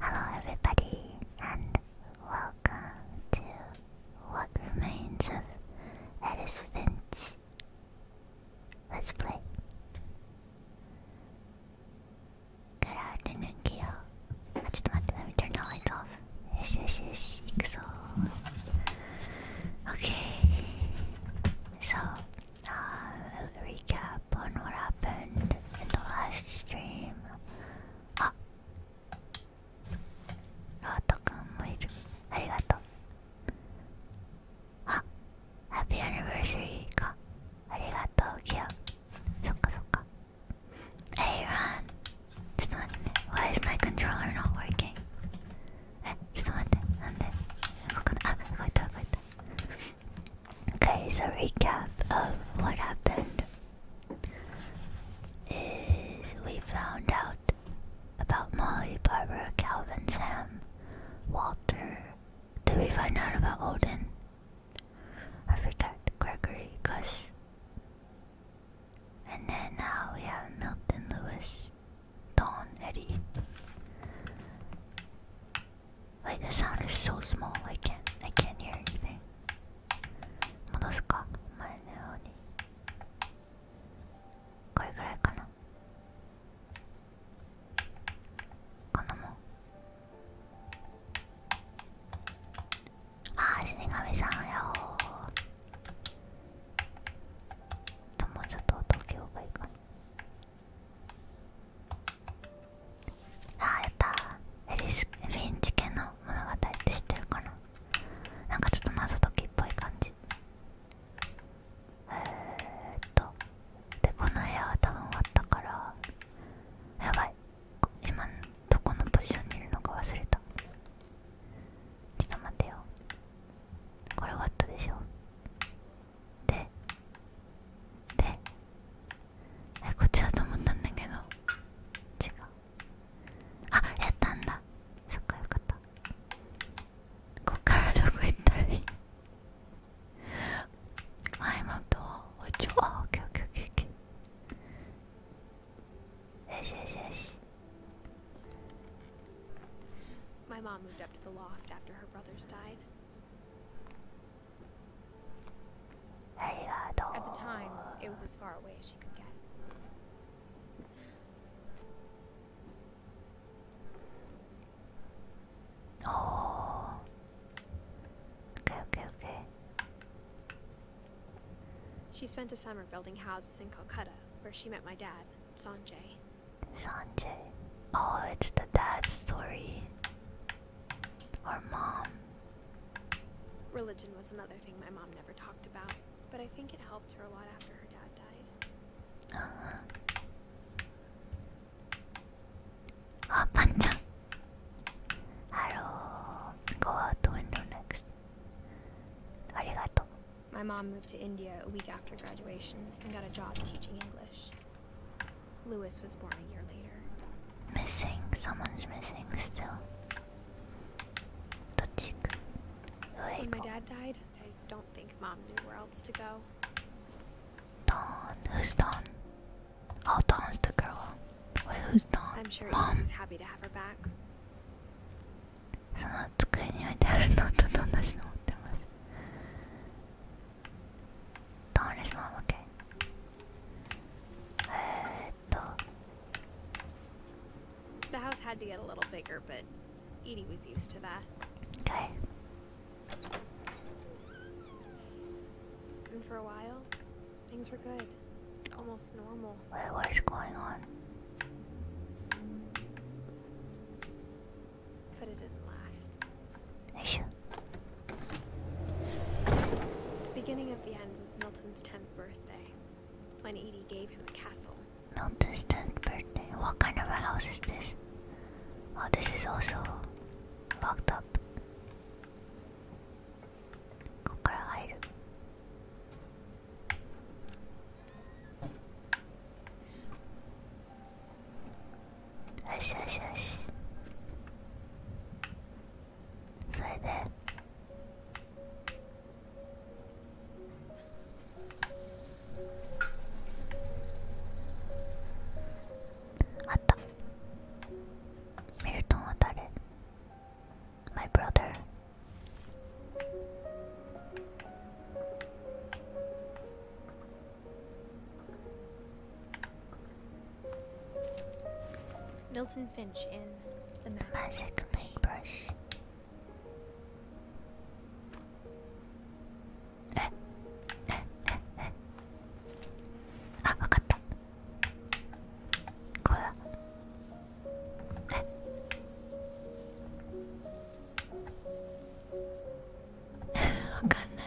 Hello everybody and welcome to what remains of Alice Finch Let's play Good afternoon Kyo just let, let me turn the lights off. Yes, yes, yes. So, okay. So, uh, I'll recap on what happened in the last stream. Ah, Roto-kun ah, is Arigato. Ah, happy anniversary ka. Arigato, Kyo. そっかそっか。Hey Ron! Just Why is my controller not working? Eh, just one Okay, so recap of what happened is we found out about Molly, Barbara, Calvin, Sam, Walter. Did we find out about Odin? I forgot Gregory Gus. And then now we have Milton Lewis, Don Eddie. Like the sound is so small, I can't, I can't hear anything. Monosuka, ああ死神さんやおともうちょっと音けようがいいかなああやったフィンチ家の物語って知ってるかななんかちょっと謎解きっぽい感じえー、っとでこの部屋は多分終わったからやばい今どこのポジションにいるのか忘れたちょっと待ってよこれ終わったでしょででえこっちだと思ったんだけど違うあやったんだそっかよかったこっからどこ行ったり。いい I'm up to all which oh, okay, okay, o k Yes, yes, yes. My mom moved up to the loft after her brothers died. At the time, it was as far away as she could get. Oh, she spent a summer building houses in Calcutta, where she met my dad, Sanjay. Sanjay. Oh, it's the dad's story. Or mom. Religion was another thing my mom never talked about, but I think it helped her a lot after her dad died. Uh-huh. あパンちゃんハロー Go out the window next ありがとう My mom moved to India a week after graduation and got a job teaching English Lewis was born a year later Missing, someone's missing still どっち行く上行こう When my dad died, I don't think mom knew where else to go Don, who's Don? I'll taunt the Wait, who's taunt? I'm sure Mom. He's happy to have her back. その机に置いてあるノートと同じの持ってます。Don't let mom, okay. えーっと。The house had to get a little bigger, but Edie was used to that. Okay. And for a while, Things were good. Almost normal. What, what is going on? But it didn't last. Sure. The beginning of the end was Milton's 10th birthday, when Edie gave him a castle. Milton's 10th birthday? What kind of a house is this? Oh, this is also locked up. こっから入るよしよしよしそれであった Milton は誰 My brother. Milton Finch in The Magic, Paintbrush. Eh, eh, eh, ah, わかったこらえ わかんない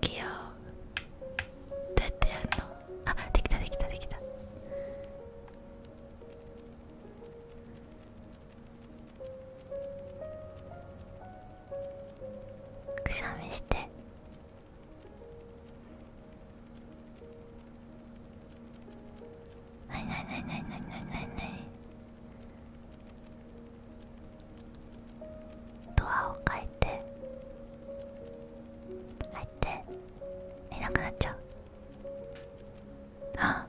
器用どうやってやるのあできたできたできたくしゃみしてないないないないないないドアを変えて入っていなくなっちゃうあ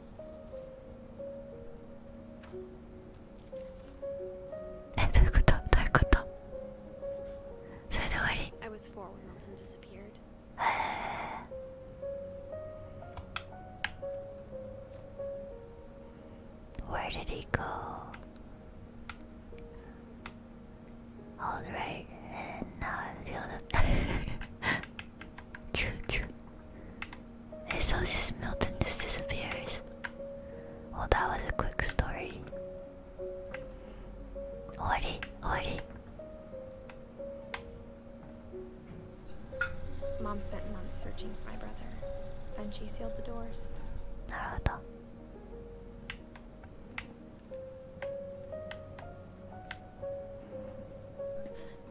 えどういうことどういうことそれで終わりえー Where did he go? Alright, and now I feel that. It's house just melts and just disappears. Well, that was a quick story. Ori, Ori. Mom spent months searching for my brother. Then she sealed the doors. Naruto.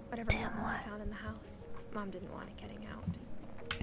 Whatever Damn, what? I found in the house, Mom didn't want it getting out.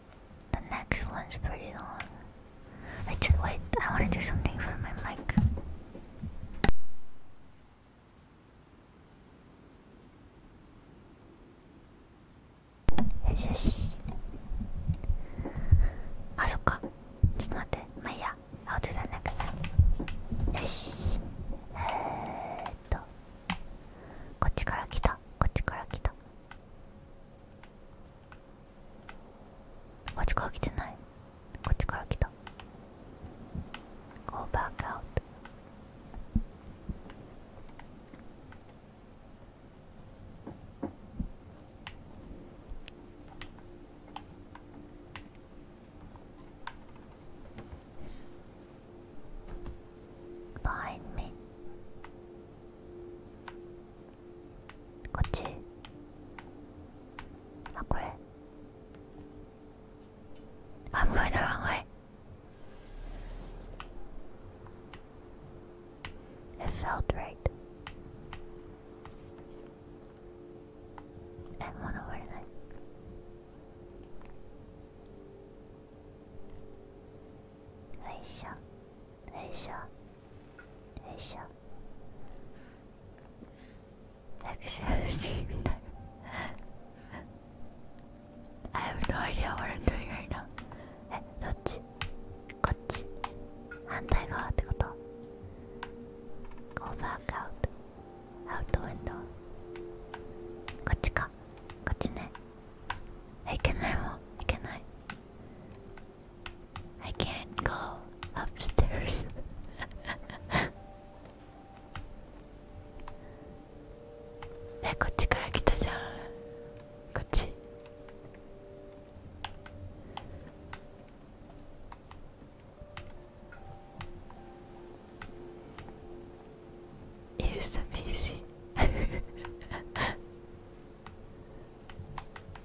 The next one's pretty long. Wait, I want to do something for my mic. Yes, Ah, so Just not that. I'll do that next time. Yes. えーっと、こっちから来た。こっちから来た。こっちから来てないこっちから来た Go back out バインミこっちあこれあんぐいだろあんぐい It felt right えもう登れないよいしょよいしょよいしょ楽勝しみたい I have no idea what I'm doing right now えどっちこっち反対側ってこと Go back out out the window こっちかこっちねいけないもんいけない I can't go upstairs. え、こっちから来たじゃん。こっち。Use the PC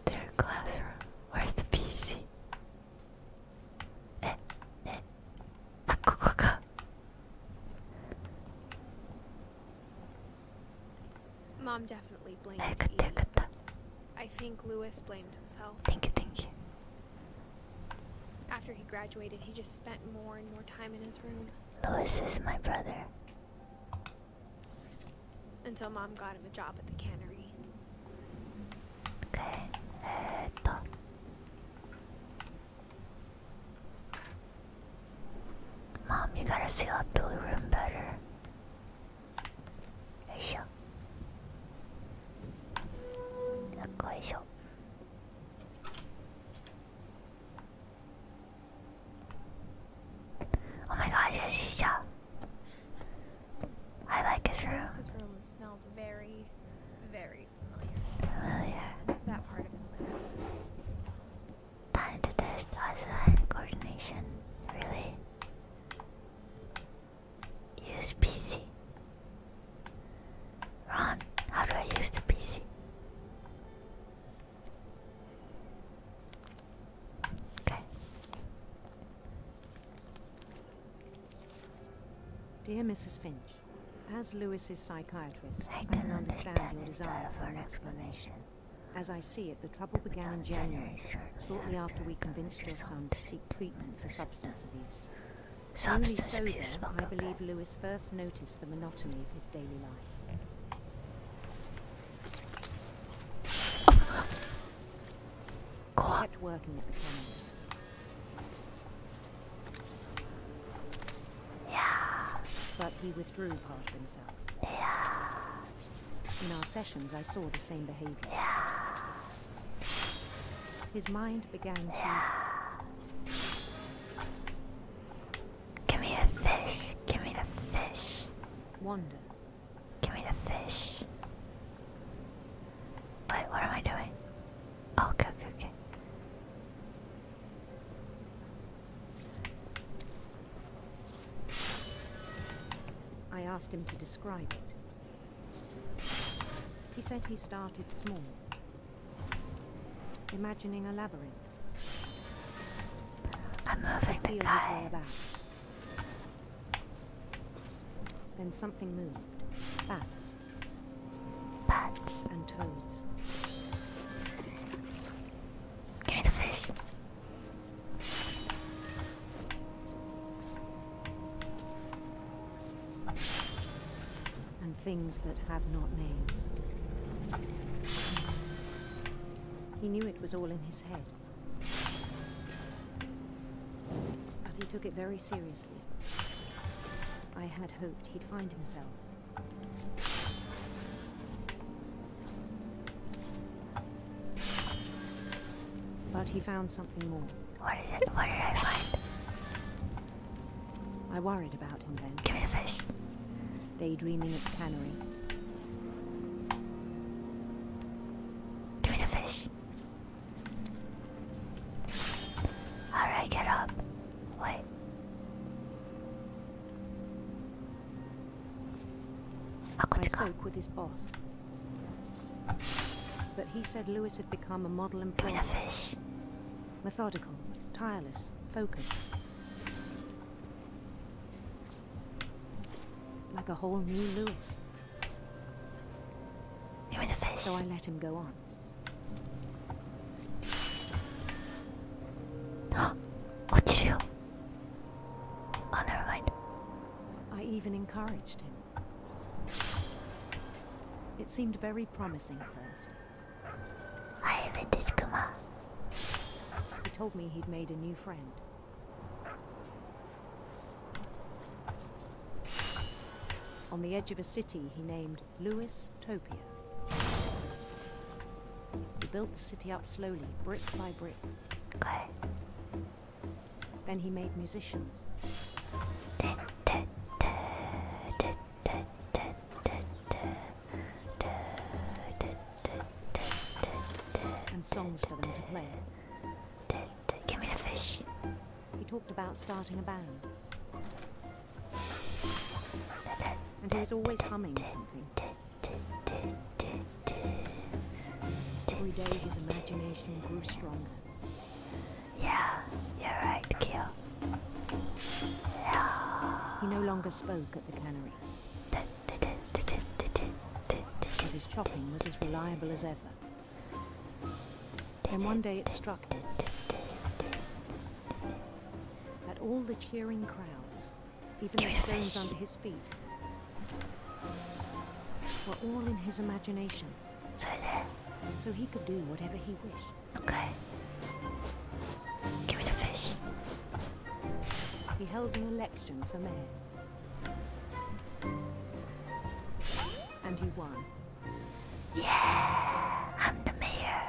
Their classroom. Where's the PC? Eh, eh. Ah, go, Mom definitely blamed eh, me. I think Louis blamed himself. Thank you, thank you. After he graduated, he just spent more and more time in his room. Louis is my brother. Until mom got him a job at the cannery. Okay. Mom, you gotta seal up the room better. Yoisho. Yoisho. Oh my gosh, yes, Shisha. I like his room. His room smelled very, very familiar. Time to test Asa and coordination. Really? Use PC. Ron, how do I use the PC? Dear Mrs. Finch, as Lewis's psychiatrist, I, can understand your desire for an explanation. As I see it, the trouble began in January, shortly after we convinced your son to seek treatment for substance abuse. Only so abuse then, I believe Lewis first noticed the monotony of his daily life. God. Working at the cannon. Yeah. But he withdrew part of himself. Yeah. In our sessions, I saw the same behavior. Yeah. His mind began to... Yeah. Give me a fish. Give me the fish. Wonder. Give me the fish. Wait, what am I doing? Oh, okay, okay. I asked him to describe it. He said he started small, imagining a labyrinth. I'm moving the guy. Then something moved. Bats. Bats. And toads. Give me the fish. And things that have not names. He knew it was all in his head. But he took it very seriously. I had hoped he'd find himself. But he found something more. What is it? What did I find? I worried about about him then. Give me a fish. Daydreaming at the cannery. Give me the fish. Alright, get up. Wait. I spoke with his boss. But he said Lewis had become a model employee. Give me the fish. Methodical, tireless, focused. Like a whole new Lewis. You want to fish? So I let him go on. Oh, never mind. I even encouraged him. It seemed very promising at first. I with this Kuma. He told me he'd made a new friend. On the edge of a city he named Lewis Topia. He built the city up slowly, brick by brick. Then he made musicians and songs for them to play. Give me the fish. He talked about starting a band. And he was always humming something. Every day his imagination grew stronger. Yeah, you're right, Kyo. Yeah. He no longer spoke at the cannery. But his chopping was as reliable as ever. Then one day it struck him that all the cheering crowds, even the stones under his feet, were all in his imagination. So he could do whatever he wished. Okay. Give me the fish. He held an election for mayor. And he won. Yeah, I'm the mayor.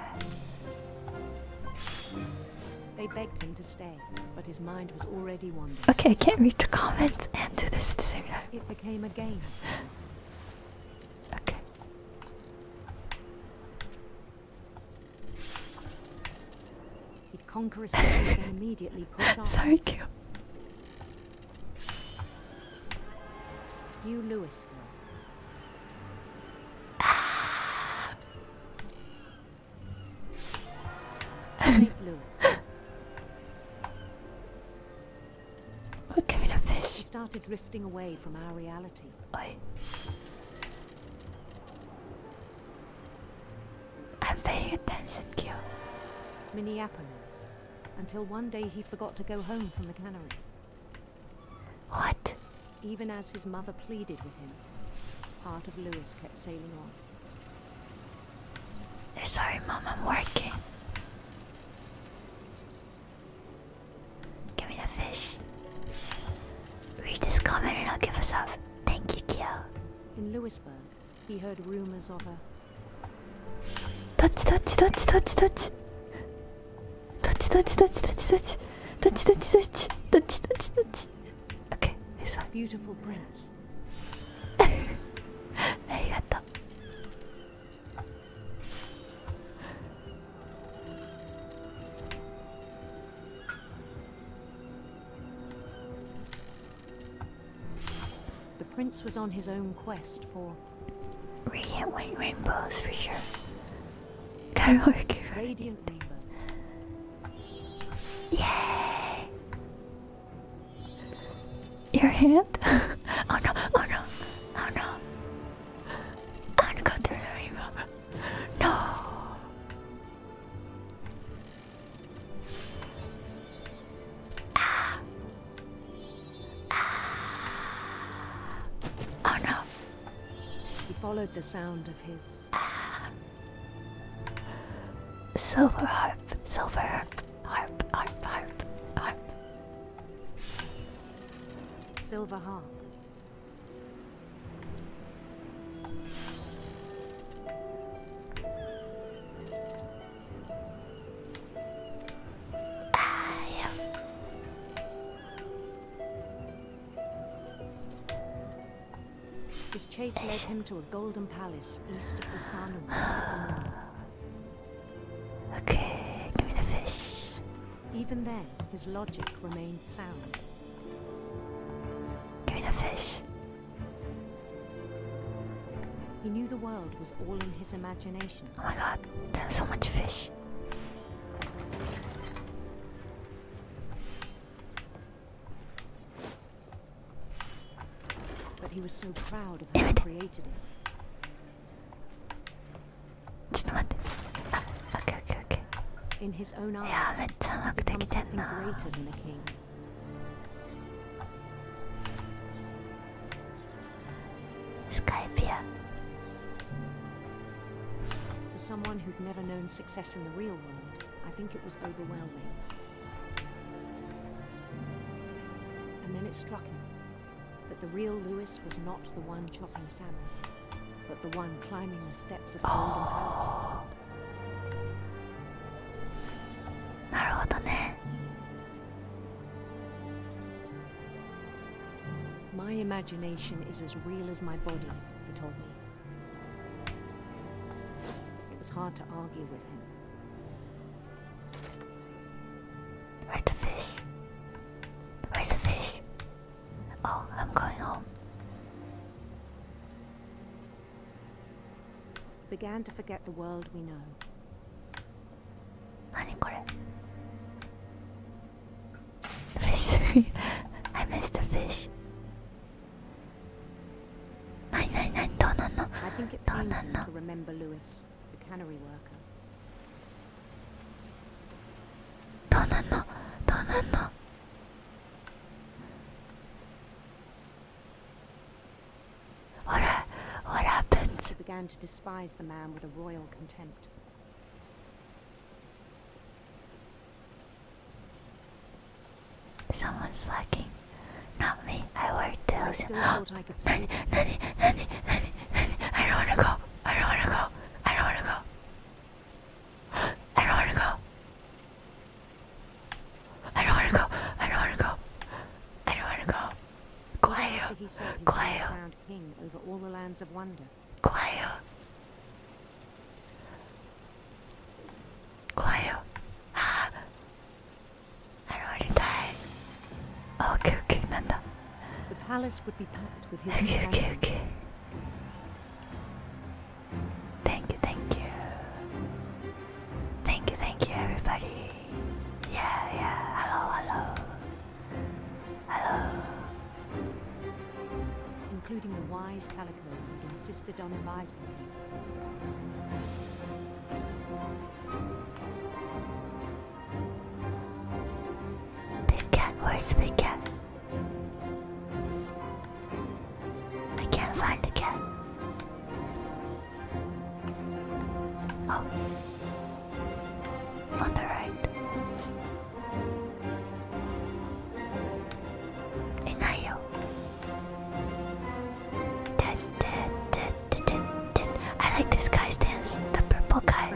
They begged him to stay, but his mind was already wandering. Okay, I can't read the comments and do this at the same time. It became a game. okay. He'd conquer a city and immediately put up. So cute. New Louisville. St. Louis. What kind of fish? We started drifting away from our reality. Oi. I'm paying attention, Kyo. Minneapolis. Until one day he forgot to go home from the cannery. What? Even as his mother pleaded with him, part of Lewis kept sailing on. Sorry, Mom, I'm working. Give me the fish. Read this comment and I'll give us up. Thank you, Kyo. In Louisburg, he heard rumors of her. Touch, touch, touch, touch, touch. Touch, touch, touch, touch, touch. Touch, touch, touch. Touch, touch, touch. Okay, this one. Beautiful prince. Arigato. The prince was on his own quest for radiant white rainbows for sure. Gotta work. Yay! Your hand? oh no! Oh no! Oh no! I'm through the rainbow. No. Ah. Ah. Oh no. He followed the sound of his. Silver harp, silver harp, harp, harp, harp, harp. Silver harp. I His chase led him to a golden palace east of the sun Okay, give me the fish. Even then, his logic remained sound. Give me the fish. He knew the world was all in his imagination. Oh my god, so much fish. But he was so proud of what he created ちょっと待ってあオッケーオッケーオッケーいやーめっちゃうまくできてんなスカイピア For someone who'd never known success in the real world, I think it was overwhelming. And then it struck him that the real Lewis was not the one chopping salmon but the one climbing the steps of Golden Palace. なるほどね。My imagination is as real as my body, he told me. It was hard to argue with him. Where's the fish? Where's the fish? Oh, I'm going home. Began to forget the world we know. 何これ Fish. I missed the fish. 何何何どうなんのどうなんの I think it pains to remember Lewis, the cannery worker. どうなんのどうなんのほらほらプンツ began to despise the man with a royal contempt. Someone's slacking. Not me. I work till. I still I could sleep. Nanny, I don't want to go. I don't want to go. I don't want to go. I don't want to go. Quiet. Quiet. King over all the lands of wonder. Quiet. Quiet. Ah. I don't want to die. Okay, okay, なんだ。the palace would be packed with his. okay, okay, okay. Thank you, thank you. Thank you, thank you, everybody. Yeah, yeah. Hello, hello. Hello. Including the wise Calico who'd insisted on advising him. Big cat, where's the big cat? I can't find the cat. Oh. On the right. Inayo. I like this guy's dance, the purple guy.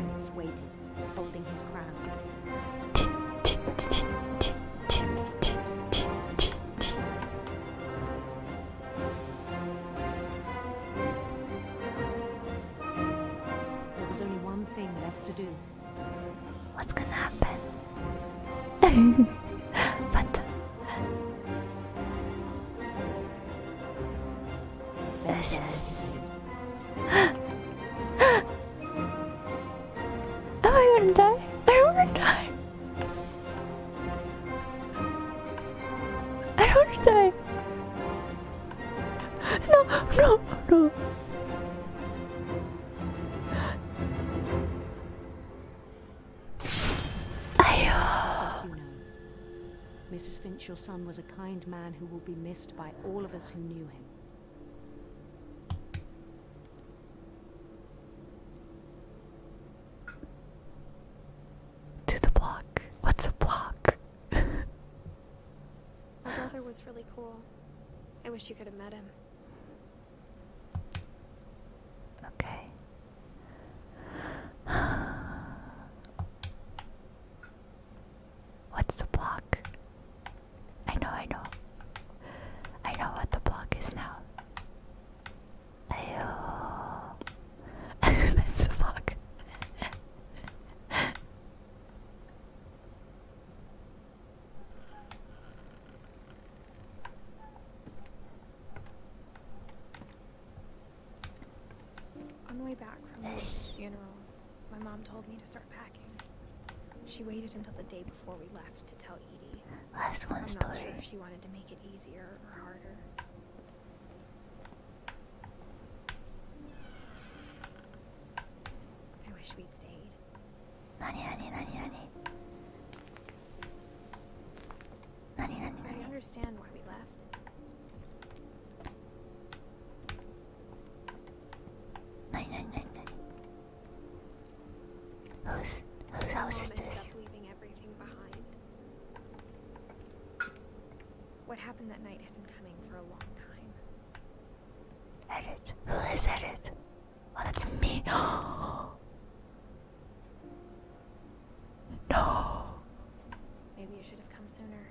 There was only one thing left to do. What's gonna happen? but this is. I want to die. I want to die. I want to die. No, no, no. Mrs. Finch, your son was kind man who will be missed by all of us who knew him. To the block. What's a block? My brother was really cool. I wish you could have met him. Okay. What's the block? I know, I know. I know what the block is now. Ayo. That's the block. On the way back from the funeral, my mom told me to start packing. She waited until the day before we left to tell Edie. Last one I'm Not sure if she wanted to make it easier or harder. I wish we'd stayed. Nani, nani, nani, nani. Nani, nani, nani. I understand why we left. Who's whose house is this? What happened that night had been coming for a long time. Edit. Who is Edit? Oh, it's me. no. Maybe you should have come sooner.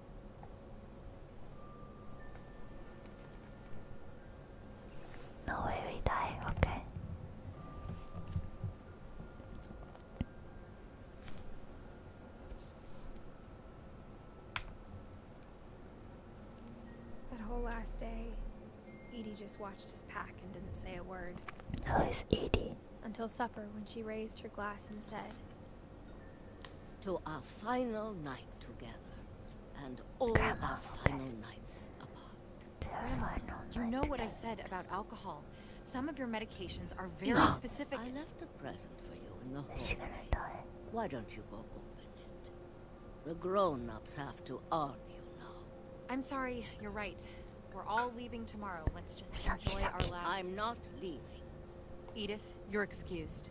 No way we die, okay. That whole last day, Edie just watched us pack and didn't say a word. Who is Edie? Until supper when she raised her glass and said, to our final night together, and all our final nights apart. you know what I said about alcohol. Some of your medications are very specific. I left a present for you in the hallway. Why don't you go open it? The grown-ups have to argue now. I'm sorry, you're right. We're all leaving tomorrow. Let's just enjoy our last... I'm not leaving. Edith, you're excused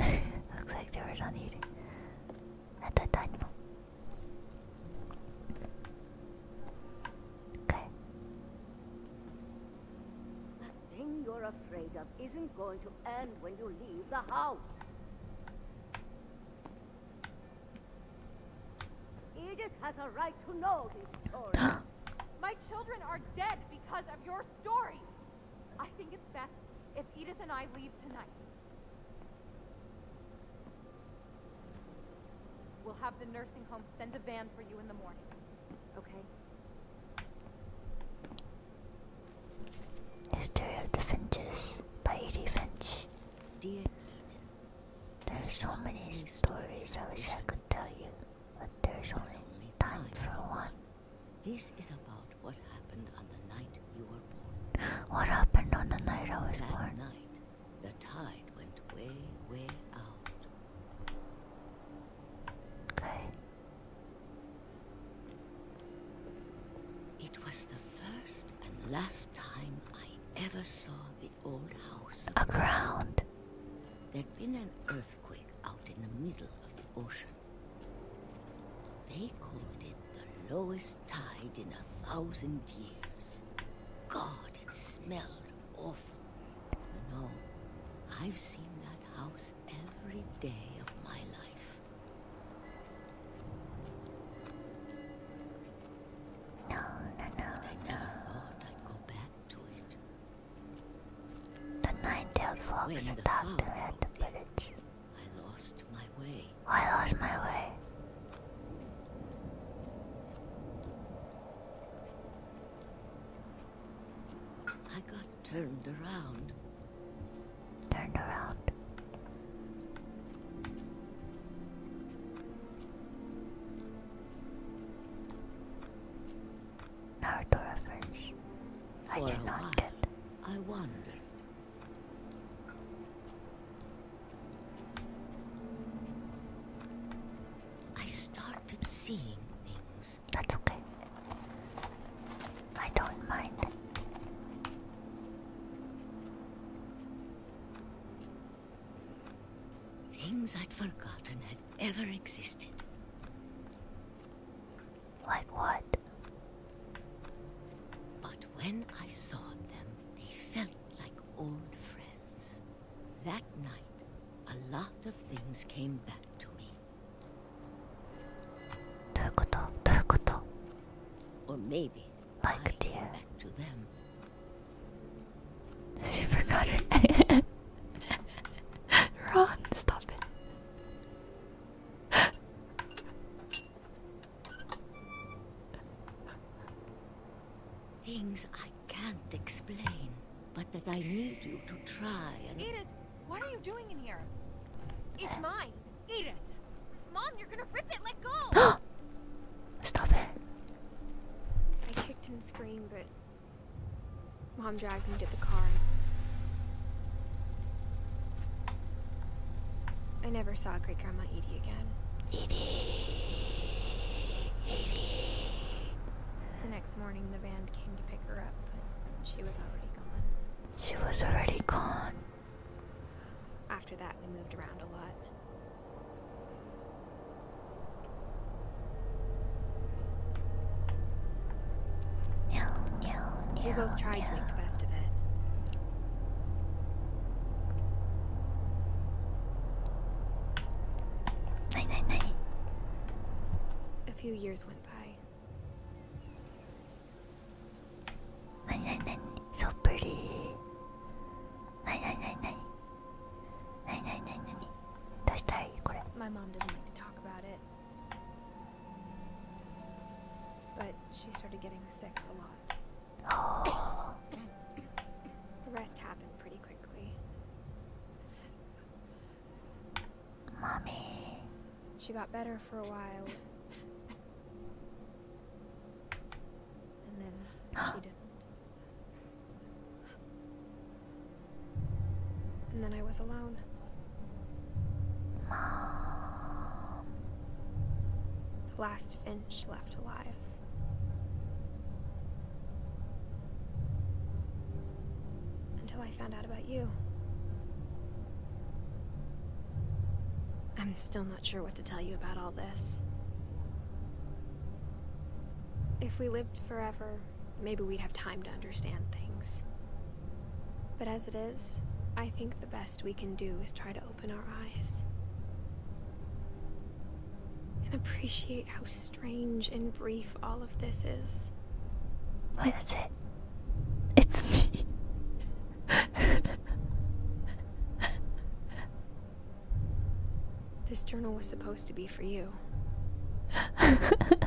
Looks like they were done eating at that time. Okay. thing you're afraid of isn't going to end when you leave the house. Edith has a right to know this story. My children are dead because of your Dory, I think it's best if Edith and I leave tonight. We'll have the nursing home send a van for you in the morning. Okay? History of the Finches by Edie Finch. Dear there's so many stories I wish I could tell you, but there's only time for one. This is about what happened on the night you were born. What happened on the night I was born? the tide went way, way out. It was the first and last time I ever saw the old house. A ground. There'd been an earthquake out in the middle of ocean. They called it the lowest tide in a thousand years. God, it smelled awful. You know, I've seen that house every day of my life. No, no, no. I never thought I'd go back to it. The nine-tailed fox adopted it, but it's... I lost my way. Oh, I lost my way. I got turned around. Turned around. Naruto reference. I For did not I wonder. I started seeing things. That's okay. I don't mind. Things I'd forgotten had ever existed. Like what? But when I saw them, they felt like old friends. That night, a lot of things came back to me. どういうことどういうこと Or maybe like I came back to them. She forgot her Ron, stop it. Things I can't explain, but that I need you to try and. Edith, what are you doing in here? It's uh. mine. Edith! Mom, you're gonna rip it, let go! Stop it. I kicked and screamed, but Mom dragged me to the car. I never saw great grandma Edie again. Edie! Edie! The next morning, the van came to pick her up, but she was already gone. She was already gone. After that, we moved around a lot. No, no, no. We both tried to make the best of it. Nine, nine, nine. A few years went by. Nine, nine, nine. So pretty. Nine, nine, nine, nine. Nine, nine, nine, nine. My mom didn't like to talk about it. But she started getting sick a lot. the rest happened pretty quickly. Mommy. She got better for a while. And then she didn't. And then I was alone. Mom. The last finch left alive. Until I found out about you. I'm still not sure what to tell you about all this. If we lived forever, maybe we'd have time to understand things. But as it is, I think the best we can do is try to open our eyes. And appreciate how strange and brief all of this is. What is it? It's me. This journal was supposed to be for you. Alright. Oh,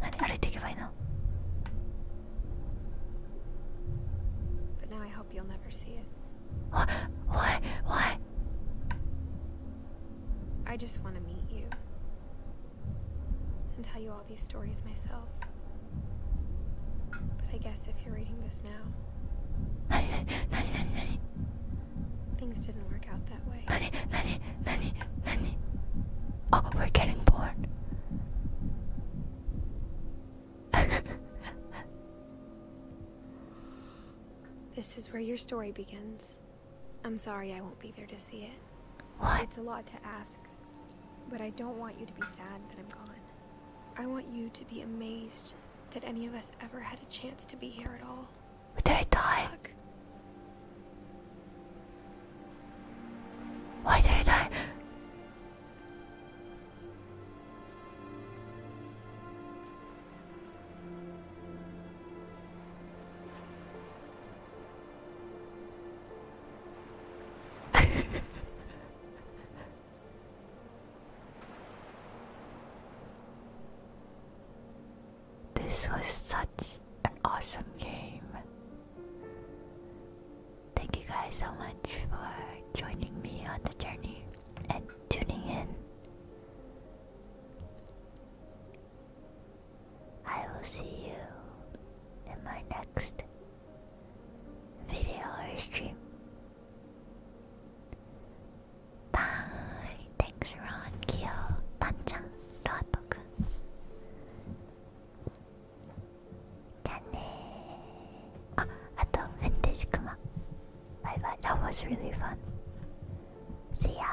何歩いていけばいいの But now I hope you'll never see it. Why? Why? Why? I just want to meet you and tell you all these stories myself. But I guess if you're reading this now, things didn't work out that way. Lenny, Lenny, Lenny, Lenny. Oh, we're getting born. this is where your story begins. I'm sorry I won't be there to see it. What? It's a lot to ask but I don't want you to be sad that I'm gone. I want you to be amazed that any of us ever had a chance to be here at all. But did I die? Why did I die? this was such an awesome game. Thank you guys so much for joining me on the journey and tuning in. I will see you in my next video or stream. Bye! Thanks, Ron, Kyo, Panchan, Roato-kun. Ah, ato vintage Kuma. Bye bye. That was really fun. See ya.